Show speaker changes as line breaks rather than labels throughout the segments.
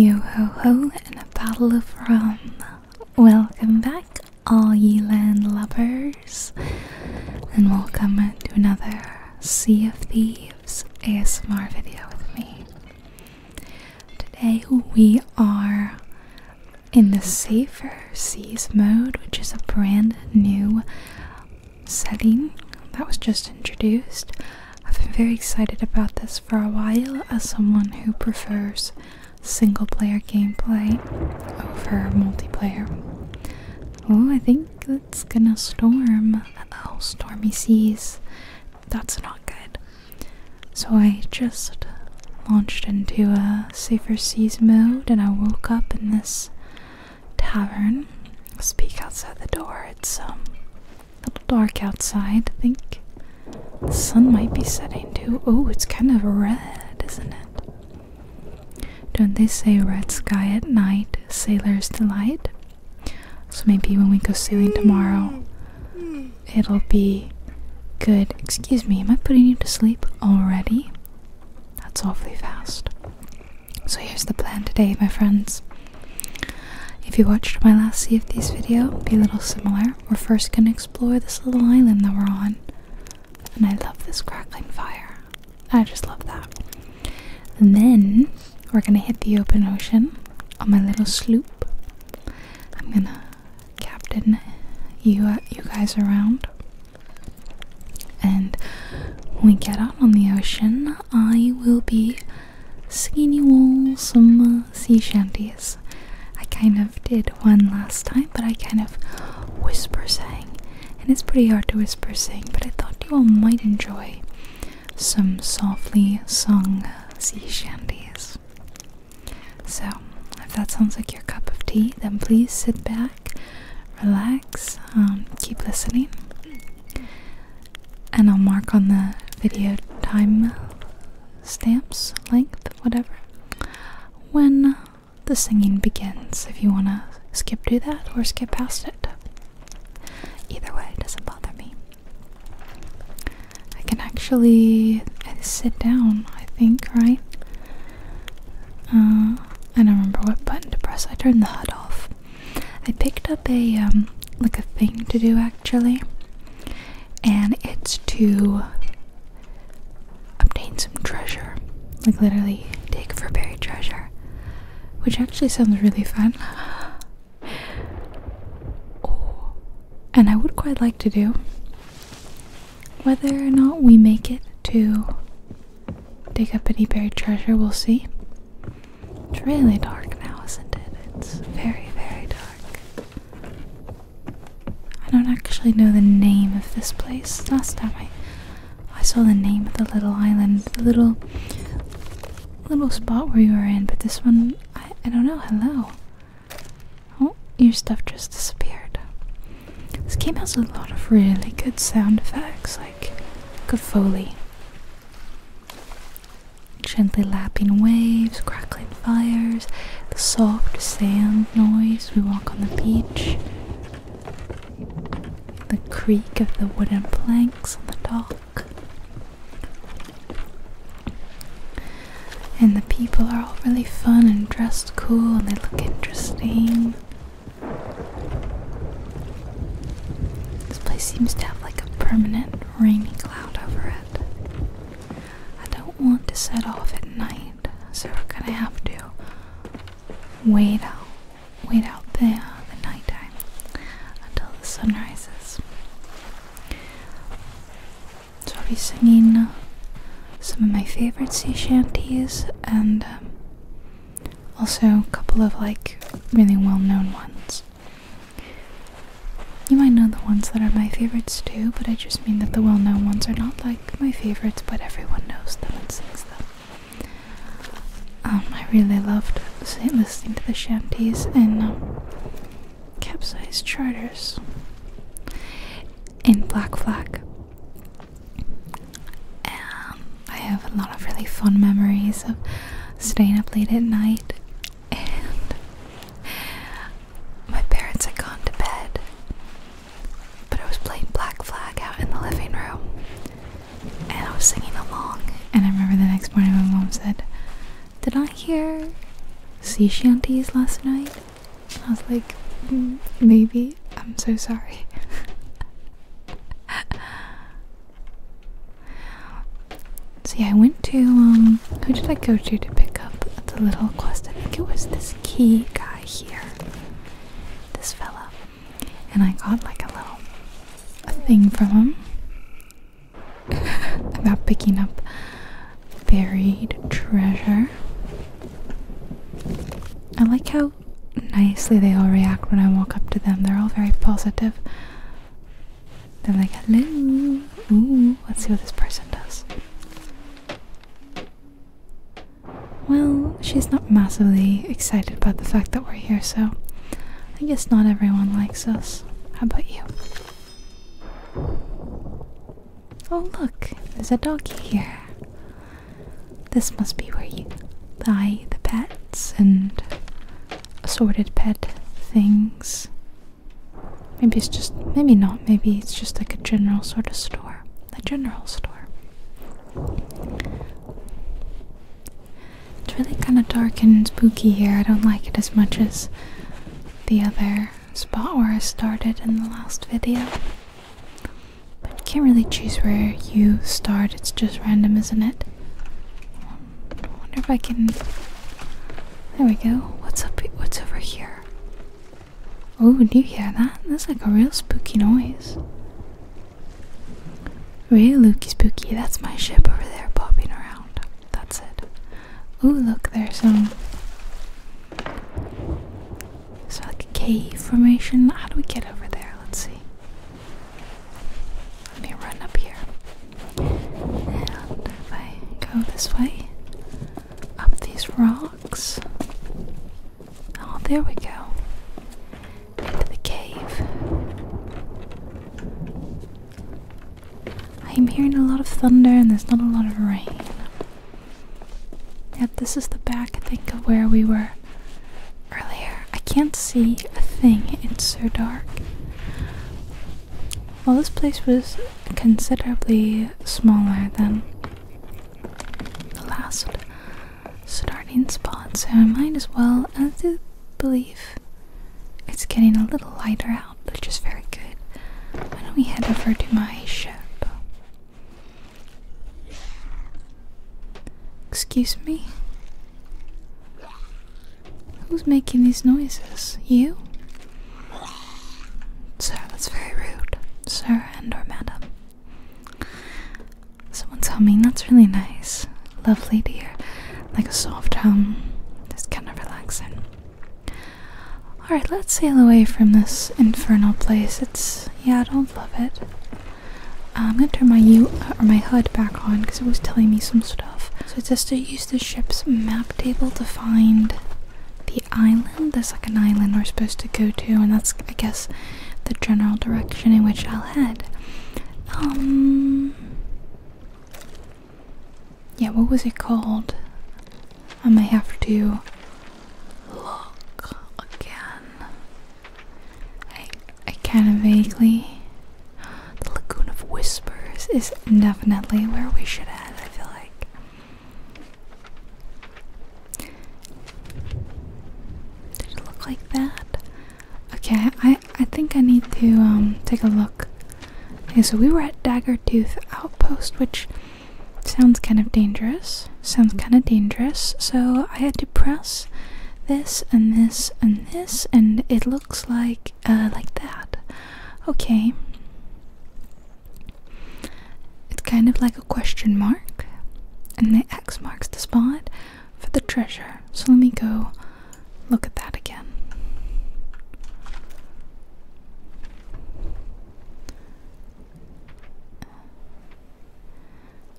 Yo ho ho and a bottle of rum. Welcome back, all ye land lovers, and welcome to another Sea of Thieves ASMR video with me. Today we are in the Safer Seas mode, which is a brand new setting that was just introduced. I've been very excited about this for a while as someone who prefers single player gameplay over multiplayer. Oh, I think it's gonna storm. Oh, stormy seas. That's not good. So I just launched into a safer seas mode and I woke up in this tavern. Speak outside the door. It's um little dark outside, I think. The sun might be setting too. Oh, it's kind of red, isn't it? Don't they say red sky at night, sailor's delight? So maybe when we go sailing tomorrow, it'll be good. Excuse me, am I putting you to sleep already? That's awfully fast. So here's the plan today, my friends. If you watched my last Sea of Thieves video, it'd be a little similar. We're first gonna explore this little island that we're on. And I love this crackling fire. I just love that. And then we're gonna hit the open ocean on my little sloop. I'm gonna captain you uh, you guys around. And when we get out on the ocean, I will be skinny all some uh, sea shanties. I kind of did one last time, but I kind of whisper sang, and it's pretty hard to whisper sing, but I thought you all might enjoy some softly sung uh, sea shanties. So, if that sounds like your cup of tea, then please sit back, relax, um, keep listening and I'll mark on the video time stamps, length, whatever, when the singing begins. If you want to skip to that or skip past it, either way, it doesn't bother me. I can actually uh, sit down, I think, right? Uh, I don't remember what button to press. I turned the HUD off. I picked up a um, like a thing to do actually, and it's to obtain some treasure, like literally dig for buried treasure, which actually sounds really fun. Oh, and I would quite like to do. Whether or not we make it to dig up any buried treasure, we'll see. It's really dark now, isn't it? It's very, very dark. I don't actually know the name of this place. Last time I I saw the name of the little island, the little little spot where you were in, but this one I I don't know. Hello. Oh, your stuff just disappeared. This game has a lot of really good sound effects, like good foley. Gently lapping waves, crackling fires, the soft sand noise we walk on the beach, the creak of the wooden planks on the dock. And the people are all really fun and dressed cool and they look interesting. This place seems to have like a permanent rainy cloud over it. I don't want to set off at night, so we're gonna have to wait out, wait out there the nighttime until the sun rises. So i singing some of my favorite sea shanties and um, also, a couple of like really well known ones. You might know the ones that are my favorites too, but I just mean that the well known ones are not like my favorites, but everyone knows them and sings them. Um, I really loved listening to the shanties and um, capsized charters in Black Flag. I have a lot of really fun memories of staying up late at night, and my parents had gone to bed. But I was playing Black Flag out in the living room, and I was singing along. And I remember the next morning, my mom said, "Did I hear sea shanties last night?" I was like, mm, "Maybe." I'm so sorry. See, I went to um who did I go to to pick up the little quest? I think it was this key guy here. This fella. And I got like a little a thing from him about picking up buried treasure. I like how nicely they all react when I walk up to them. They're all very positive. They're like, hello. Ooh, let's see what this person does. Well, she's not massively excited about the fact that we're here, so I guess not everyone likes us. How about you? Oh, look, there's a doggy here. This must be where you buy the pets and assorted pet things. Maybe it's just, maybe not, maybe it's just like a general sort of store. A general store. It's really kind of dark and spooky here. I don't like it as much as the other spot where I started in the last video. But you can't really choose where you start, it's just random, isn't it? wonder if I can. There we go. What's up? What's over here? Oh, do you hear that? That's like a real spooky noise. Really looky spooky. That's my ship over there popping around. That's it. Oh, look, there's some. Um, it's like a cave formation. How do we get over there? Let's see. Let me run up here. And if I go this way, up these rocks. Oh, there we go. Into the cave. I'm hearing a lot of thunder and there's not a lot of rain. Yep, this is the back, I think, of where we were earlier. I can't see a thing, it's so dark. Well, this place was considerably smaller than the last starting spot, so I might as well, I believe it's getting a little lighter out, which is very good. Why don't we head over to my ship? Excuse me? Who's making these noises? You? Sir, that's very rude. Sir and or madam. Someone's humming, that's really nice. Lovely dear, Like a soft hum. Just kind of relaxing. Alright, let's sail away from this infernal place. It's yeah, I don't love it. Uh, I'm gonna turn my U HUD back on because it was telling me some stuff. So it says to use the ship's map table to find the island. the second island we're supposed to go to, and that's I guess the general direction in which I'll head. Um. Yeah, what was it called? I might have to look again. I I kind of vaguely. The Lagoon of Whispers is definitely where we should head. I feel like. Did it look like that? Okay, I I think I need to um take a look. Okay, so we were at Dagger Tooth Outpost, which sounds kind of dangerous. Sounds kind of dangerous. So I had to press this and this and this and it looks like uh like that okay it's kind of like a question mark and the x marks the spot for the treasure so let me go look at that again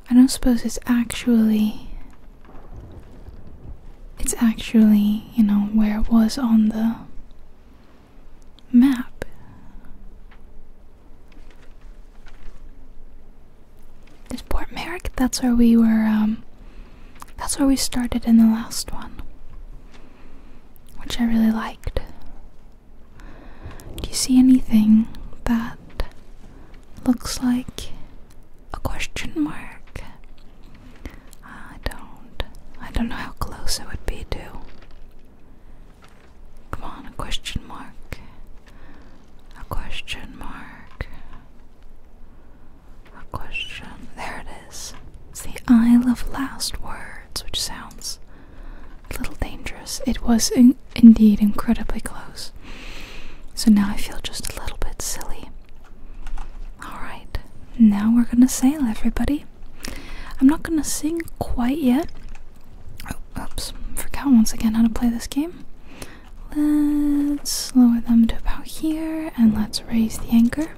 I don't suppose it's actually it's actually, you know, where it was on the map. This Port Merrick, that's where we were um that's where we started in the last one. Which I really liked. Do you see anything that looks like a question mark. I don't. I don't know how close it would be to. Come on, a question mark. A question mark. A question. There it is. It's the Isle of Last Words, which sounds a little dangerous. It was in indeed incredibly close. So now I feel just a little bit silly. Alright, now we're gonna sail, everybody. I'm not gonna sing quite yet. Oh, oops, forgot once again how to play this game. Let's lower them to about here and let's raise the anchor.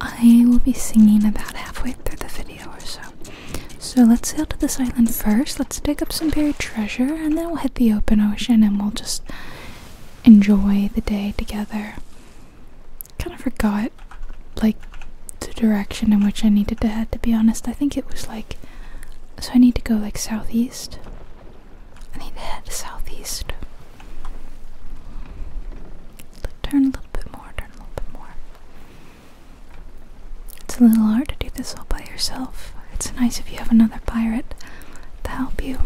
I will be singing about halfway through the video or so. So let's sail to this island first. Let's dig up some buried treasure and then we'll hit the open ocean and we'll just enjoy the day together. Kind of forgot like the direction in which I needed to head to be honest. I think it was like so I need to go like southeast. I need to head southeast. Turn a little bit more, turn a little bit more. It's a little hard to do this all by yourself. It's nice if you have another pirate to help you.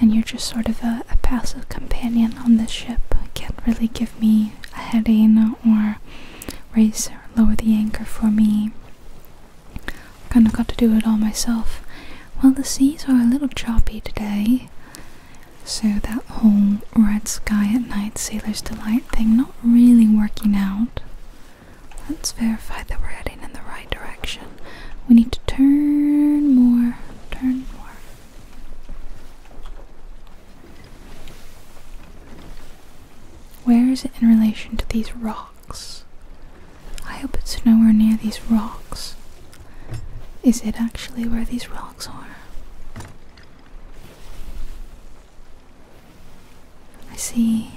And you're just sort of a, passive companion on this ship. Can't really give me a heading or raise or lower the anchor for me. Kinda got to do it all myself. Well, the seas are a little choppy today. So that whole red sky at night, sailor's delight thing, not really working out. Let's verify that we're heading in the right direction. We need to turn more, turn more. Where is it in relation to these rocks? I hope it's nowhere near these rocks. Is it actually where these rocks are? I see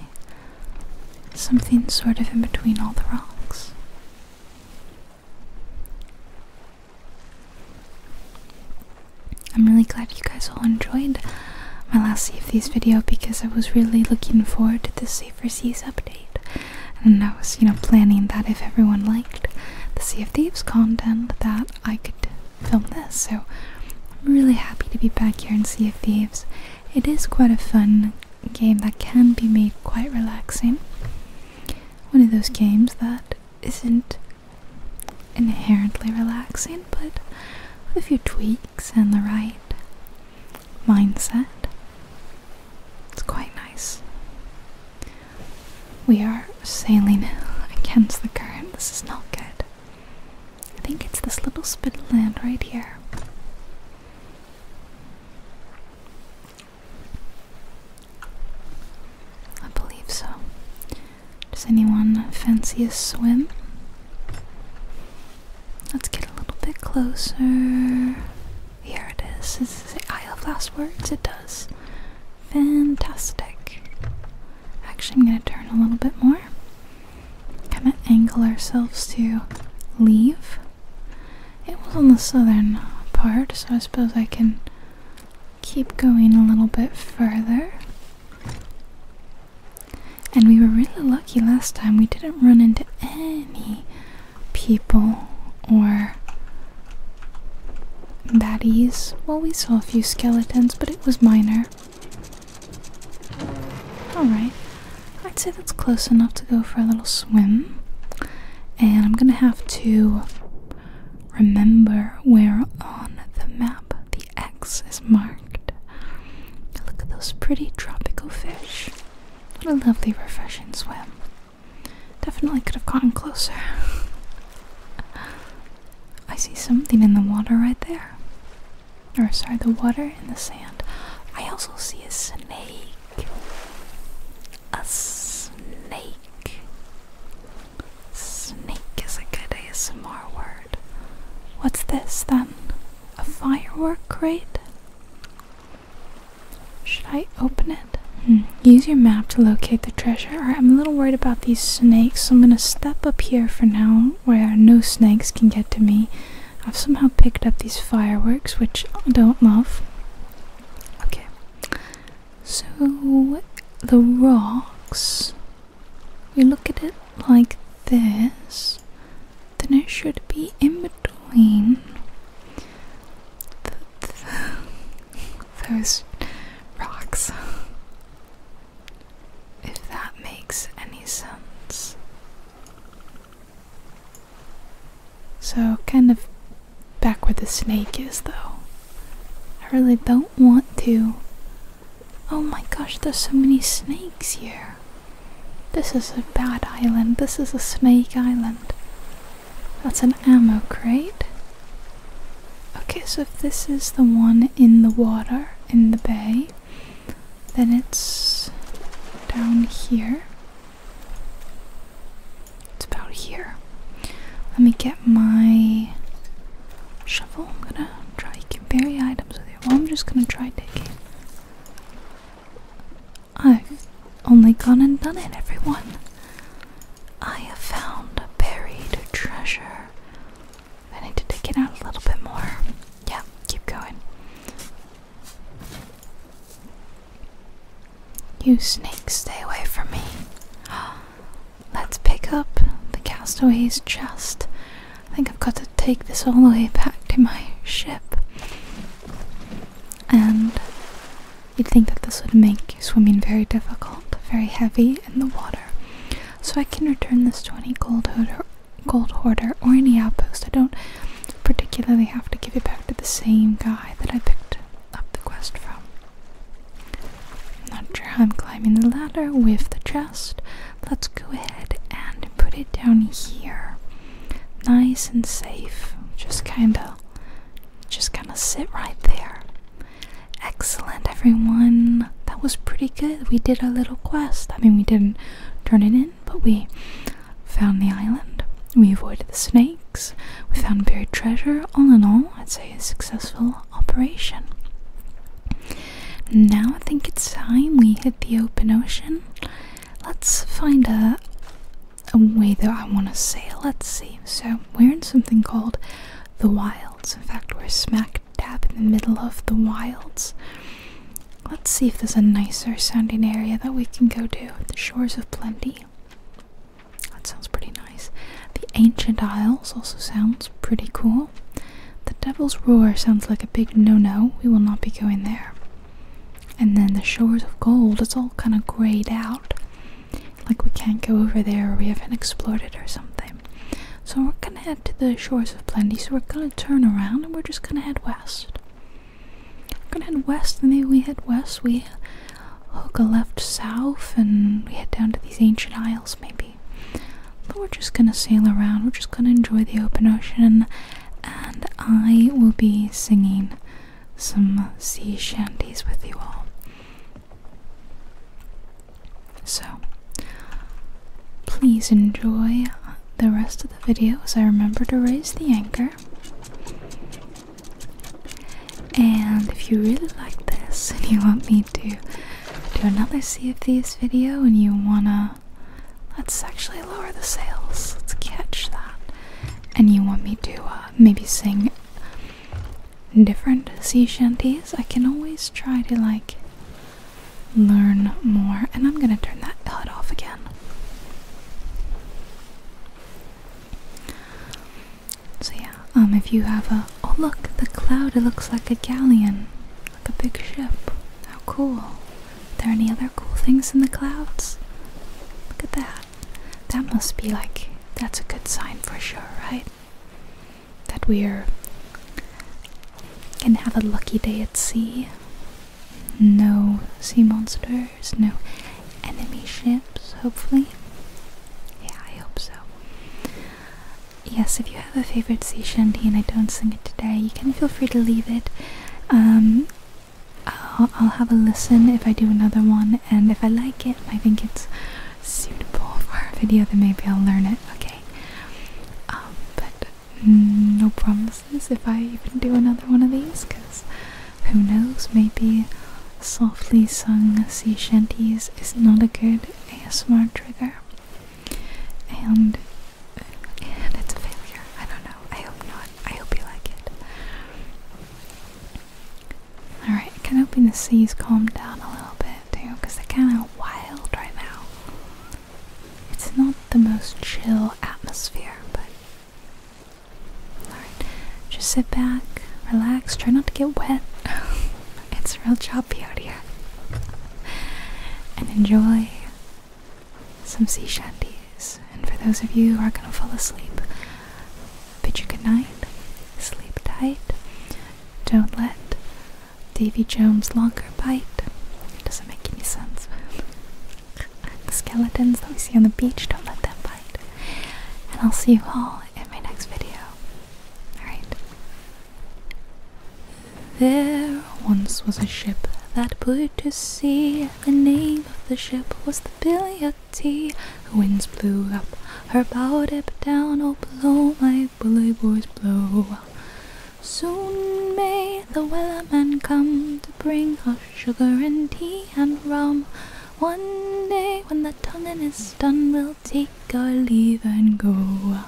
something sort of in between all the rocks. I'm really glad you guys all enjoyed my last Sea of Thieves video because I was really looking forward to the Safer Seas update. And I was, you know, planning that if everyone liked the Sea of Thieves content that I could film this. So I'm really happy to be back here and see of Thieves. It is quite a fun game that can be made quite relaxing. One of those games that isn't inherently relaxing, but with a few tweaks and the right mindset, it's quite nice. We are sailing against the current. This is not good. I think it's this little spit of land right here. I believe so. Does anyone fancy a swim? Let's get a little bit closer. Here it is. Is this the Isle of Last Words? It does. Fantastic. Actually, I'm going to turn a little bit more. Kind of angle ourselves to leave. It was on the southern part, so I suppose I can keep going a little bit further. And we were really lucky last time. We didn't run into any people or baddies. Well, we saw a few skeletons, but it was minor. Alright, I'd say that's close enough to go for a little swim. And I'm gonna have to remember where on the map the X is marked. Look at those pretty tropical fish. What a lovely, refreshing swim. Definitely could have gotten closer. I see something in the water right there. Or, sorry, the water in the sand. I also see a snake. A snake. Snake is a good ASMR word. What's this then? A firework crate? Should I open it? Hmm. Use your map to locate the treasure. Alright, I'm a little worried about these snakes, so I'm gonna step up here for now where no snakes can get to me. I've somehow picked up these fireworks, which I don't love. Okay. So, the rocks. We look at it like this, then it should be in between. Those rocks. If that makes any sense. So, kind of back where the snake is, though. I really don't want to. Oh my gosh, there's so many snakes here. This is a bad island. This is a snake island. That's an ammo crate. Okay, so if this is the one in the water, in the bay, then it's down here. It's about here. Let me get my shovel. I'm gonna try. to get buried items with it. Well, I'm just gonna try digging. I've only gone and done it, everyone. I have found a buried treasure I need to dig it out a little bit more. Yeah, keep going. You snake, stay away from me. Let's pick up the castaway's chest. I think I've got to take this all the way back to my ship. And you'd think that this would make swimming very difficult, very heavy in the water. So I can return this to any gold hoarder, gold hoarder or any outpost. I don't particularly have to give it back to the same guy that I picked up the quest from. I'm not sure how I'm climbing the ladder with the chest. Let's go ahead and put it down here. Nice and safe. Just kinda just kinda sit right there. Excellent, everyone. That was pretty good. We did a little quest. I mean, we didn't turn it in, but we found the island. We avoided the snakes. We found buried treasure. All in all, I'd say a successful operation. Now I think it's time we hit the open ocean. Let's find a, way that I want to sail. Let's see. So, we're in something called the wild. In fact, we're smack dab in the middle of the wilds. Let's see if there's a nicer sounding area that we can go to. The Shores of Plenty. That sounds pretty nice. The Ancient Isles also sounds pretty cool. The Devil's Roar sounds like a big no no. We will not be going there. And then the Shores of Gold, it's all kind of grayed out. Like we can't go over there or we haven't explored it or something. So we're gonna head to the shores of Plenty, so we're gonna turn around and we're just gonna head west. We're gonna head west, and maybe we head west, we hook a left south and we head down to these ancient isles maybe. But we're just gonna sail around, we're just gonna enjoy the open ocean and I will be singing some sea shanties with you all. So, please enjoy the rest of the video as I remember to raise the anchor. And if you really like this and you want me to do another Sea of Thieves video and you wanna, let's actually lower the sails, let's catch that. And you want me to uh, maybe sing different sea shanties. I can always try to like learn more. And I'm gonna turn that HUD off again. So yeah, um, if you have a oh look the cloud, it looks like a galleon, like a big ship. How cool! Are there any other cool things in the clouds? Look at that. That must be like that's a good sign for sure, right? that we're gonna have a lucky day at sea. No sea monsters, no enemy ships, hopefully. Yeah, I hope so. Yes, if you have a favorite sea shanty and I don't sing it today, you can feel free to leave it. Um, I'll have a listen if I do another one, and if I like it, I think it's suitable for a video, then maybe I'll learn it, okay? Um, but no promises if I even do another one of these, because who knows, maybe softly sung sea shanties is not a good ASMR trigger. And and it's a failure. I don't know. I hope not. I hope you like it. Alright, I can hoping the sea's calm down a little bit too, because they're kind of wild right now. It's not the most chill atmosphere, but. Alright, just sit back, relax, try not to get wet. it's real choppy out here. and enjoy some sea shanties. And for those of you who are going to fall asleep, bid you good night, sleep tight, don't let Davy Jones' locker bite. It doesn't make any sense. the skeletons that we see on the beach, don't let them bite. And I'll see you all in my next video. Alright. There once was a ship that put to sea. The name of the ship was the Billy Tea. The winds blew up her bow, dip down, oh blow, my bully boys blow. Soon may the wellerman come to bring us sugar and tea and rum. One day when the tonguing is done, we'll take our leave and go.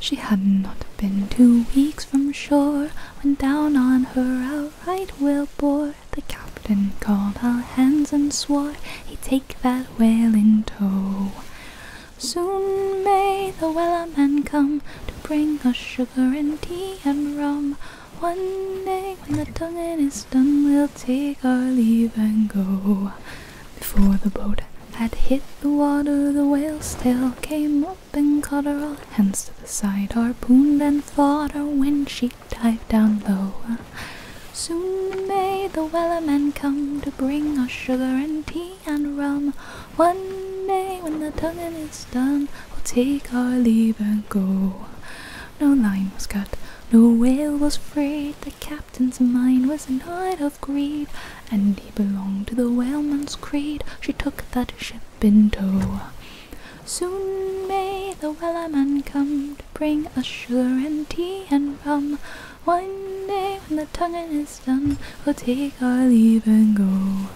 She had not been two weeks from shore when down on her outright whale bore. The captain called all hands and swore he'd take that a in tow. Soon may the whaler man come to bring us sugar and tea and rum. One day when the tonguing is done, we'll take our leave and go. Before the boat had hit the water, the whale's tail came up and caught her all hands to the side, harpooned and fought her when she dive down low. Soon may the whaler wellerman come to bring us sugar and tea and rum. One day when the tugging is done, we'll take our leave and go. No line was cut, no whale was freed. The captain's mind was annoyed of greed, and he belonged to the whaler man's creed. She took that ship in tow. Soon may the whaler wellerman come bring us sugar and tea and rum. One day when the tonguing is done, we'll take our leave and go.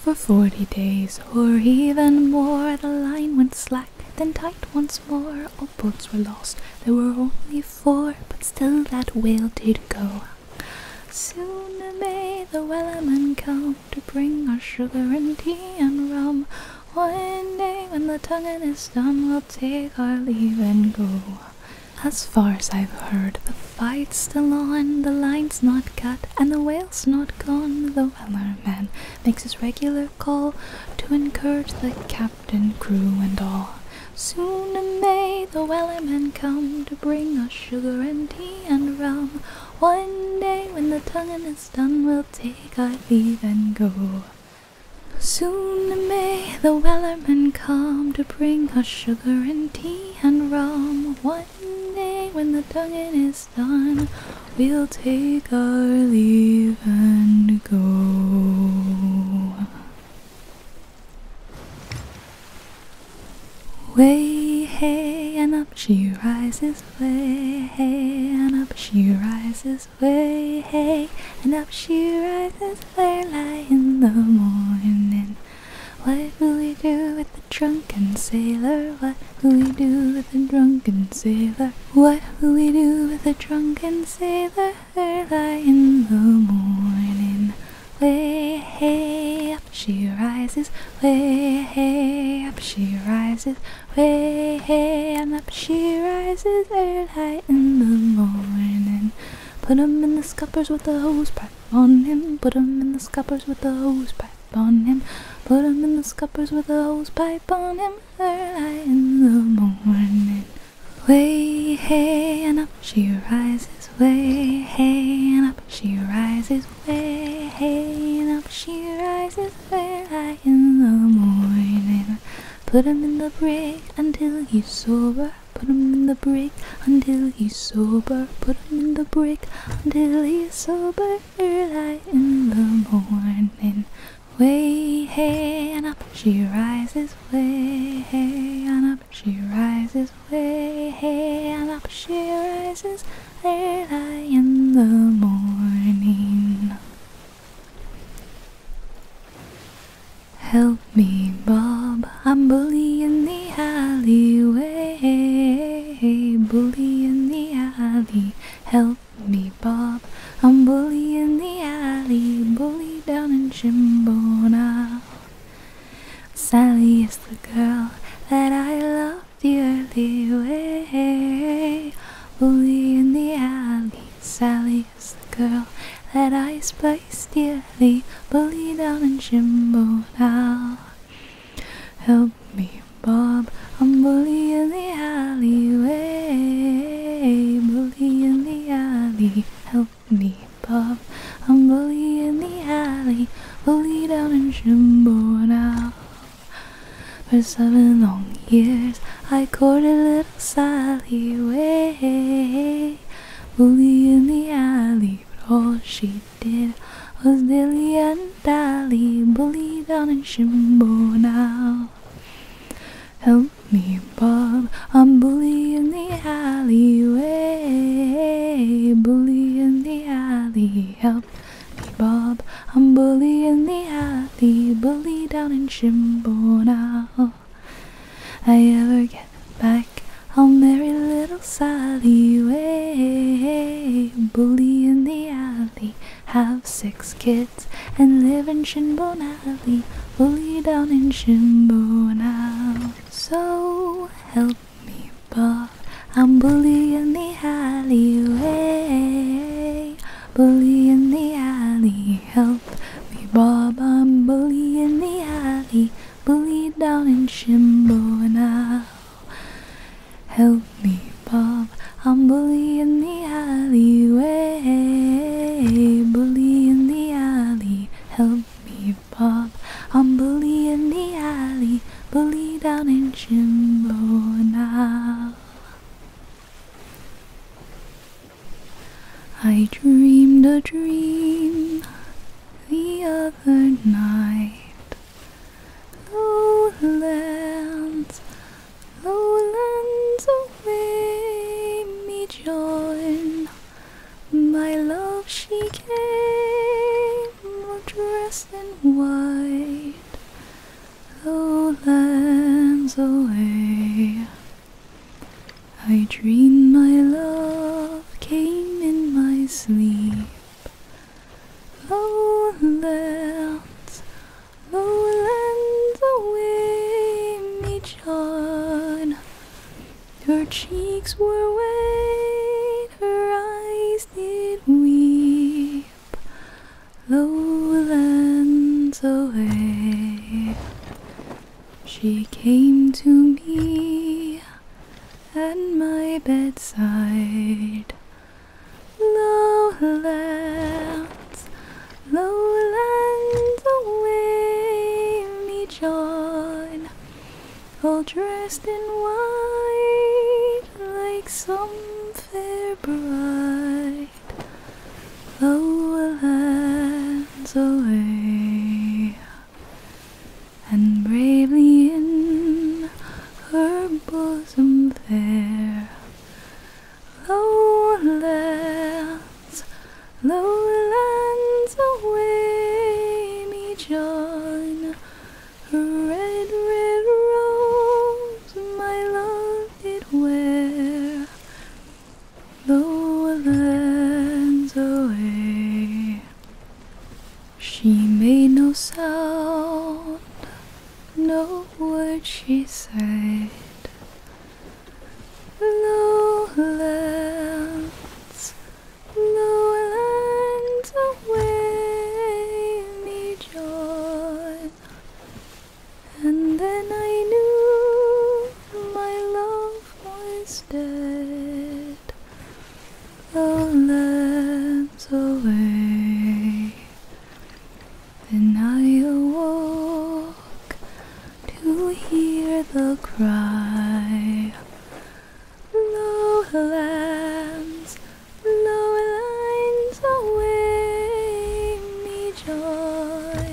For forty days or even more, the line went slack, then tight once more. All boats were lost, there were only four, but still that whale did go. Soon may the wellerman come to bring us sugar and tea and rum. One day when the tonguing is done, we'll I'll take our leave and go. As far as I've heard, the fight's still on, the line's not cut, and the whale's not gone. The whaler man makes his regular call to encourage the captain, crew, and all. Soon in May the whaler wellerman come to bring us sugar and tea and rum. One day when the tonguing is done, we'll take our leave and go. Soon may the wellerman come to bring us sugar and tea and rum. One day when the tonguing is done, we'll take our leave and go. Way hey and up she rises, way hey and up she rises, way, hey, and up she rises, fair light in the morning. What will we do with the drunken sailor? What will we do with the drunken sailor? What will we do with the drunken sailor? Early in the morning. Way hey up she rises, way hey up she rises, way hey, and up she rises early in the morning. Put 'em in the scuppers with the hose pipe on him. in the scuppers with the hose pipe on him. in the scuppers with the hose pipe on him early in the morning. Way hey and up she rises, way hey and up she rises, way hey and up she rises, fair eye in the morning. Put him in the brick until he's sober. Put him in the brick until he's sober. Put him in the brick until he's sober. Third eye in the morning. Way hey and up she rises. Way hey and up she rises. Way hey and up she rises. Third eye in the morning. Help me, Bob, I'm bully in the alleyway. Bully in the alley. Help me, Bob, I'm bully in the alley. Bully down in Shimbona. Sally is the girl that I loved the early way. Bully in the alley, Sally is the girl that I spice dearly. Bully down in Jimbo now. Help me, Bob, I'm bully in the alleyway. Bully in the alley, help me, Bob, I'm bully in the alley. Bully down in Jimbo now. For seven long years, I courted little Sally Way, bully in the alley, but all she did was dilly and dally, bully down in Shimbo now. Help me, Bob, I'm bully in the alleyway, bully in the alley, help Bob, I'm bully in the alley, bully down in Shimbone. i ever get back, I'll marry little Sally. Way, bully in the alley, have six kids and live in Shimbone Alley, down in Shimbone. So help me, Bob, I'm bully in the alleyway bully in the alley. Help me, Bob, I'm bully in the alley. Bully down in Shimbo now. Help me, Bob, I'm bully in the alleyway. Bully in the alley. Help me, Bob, I'm bully in the alley. Bully down in Shimbo now. I dreamed a dream the other night. Lowlands, lowlands away me join. My love she came, all dressed in white. Oh lands away. I dreamed my love came in my sleep. oh lands away, me John. Her cheeks were wet, her eyes did weep lowlands away. She came to me at my bedside. Lowlands, lowlands away, me John, all dressed in white like some fair bride, lower lands away, and bravely in her bosom fair, lower lands, away, me John, her red, red rose my love did wear, lowlands away. She made no sound, no word she said. No lands, away me joy. And then I knew my love was dead. Lands away, then I awoke to hear the cry. Lowlands low lines away me joy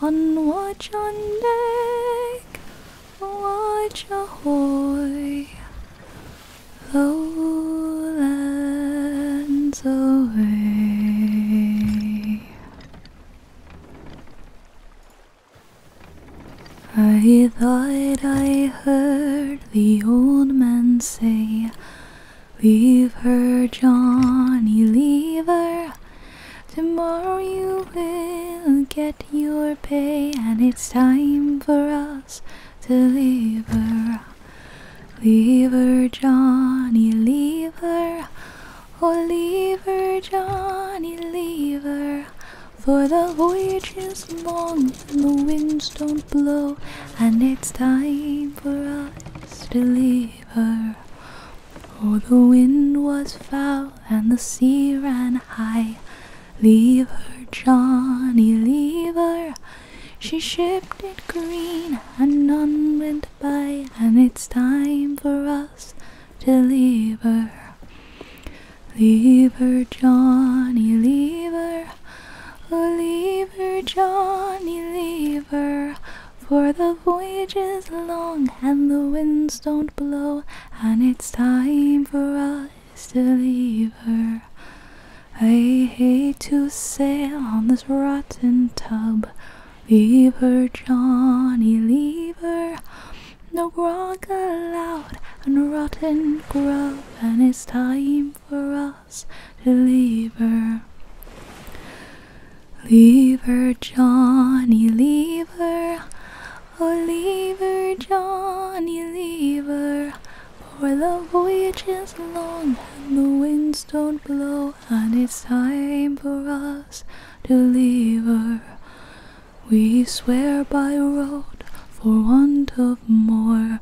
on watch on deck watch ahoy lowlands away I thought I heard the old man say Leave her, Johnny, leave her. Tomorrow you will get your pay, and it's time for us to leave her. Leave her, Johnny, leave her. Oh, leave her, Johnny, leave her. For the voyage is long and the winds don't blow, and it's time for us to leave her. For the wind was foul and the sea ran high. Leave her, Johnny, leave her. She shipped it green and none went by, and it's time for us to leave her. Leave her, Johnny, leave her. Leave her, Johnny, leave her. for the voyage is long and the winds don't blow, and it's time for us to leave her. I hate to sail on this rotten tub. Leave her, Johnny, leave her. No grog allowed and rotten grub, and it's time for us to leave her. Leave her, Johnny, leave her. Oh, leave her, Johnny, leave her. For the voyage is long and the winds don't blow, and it's time for us to leave her. We swear by road for want of more.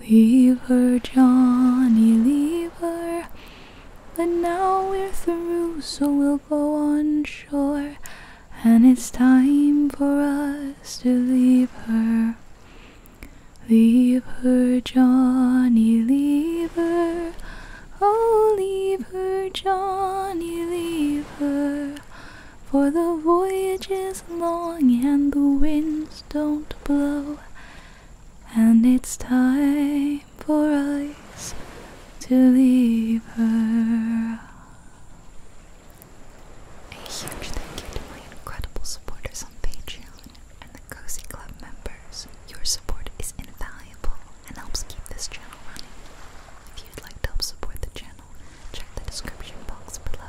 Leave her, Johnny, leave her. But now we're through, so we'll go on shore. And it's time for us to leave her. Leave her, Johnny, leave her. Oh, leave her, Johnny, leave her. For the voyage is long and the wind don't blow, and it's time for us to leave her. A huge thank you to my incredible supporters on Patreon and the Cozy Club members. Your support is invaluable and helps keep this channel running. If you'd like to help support the channel, check the description box below.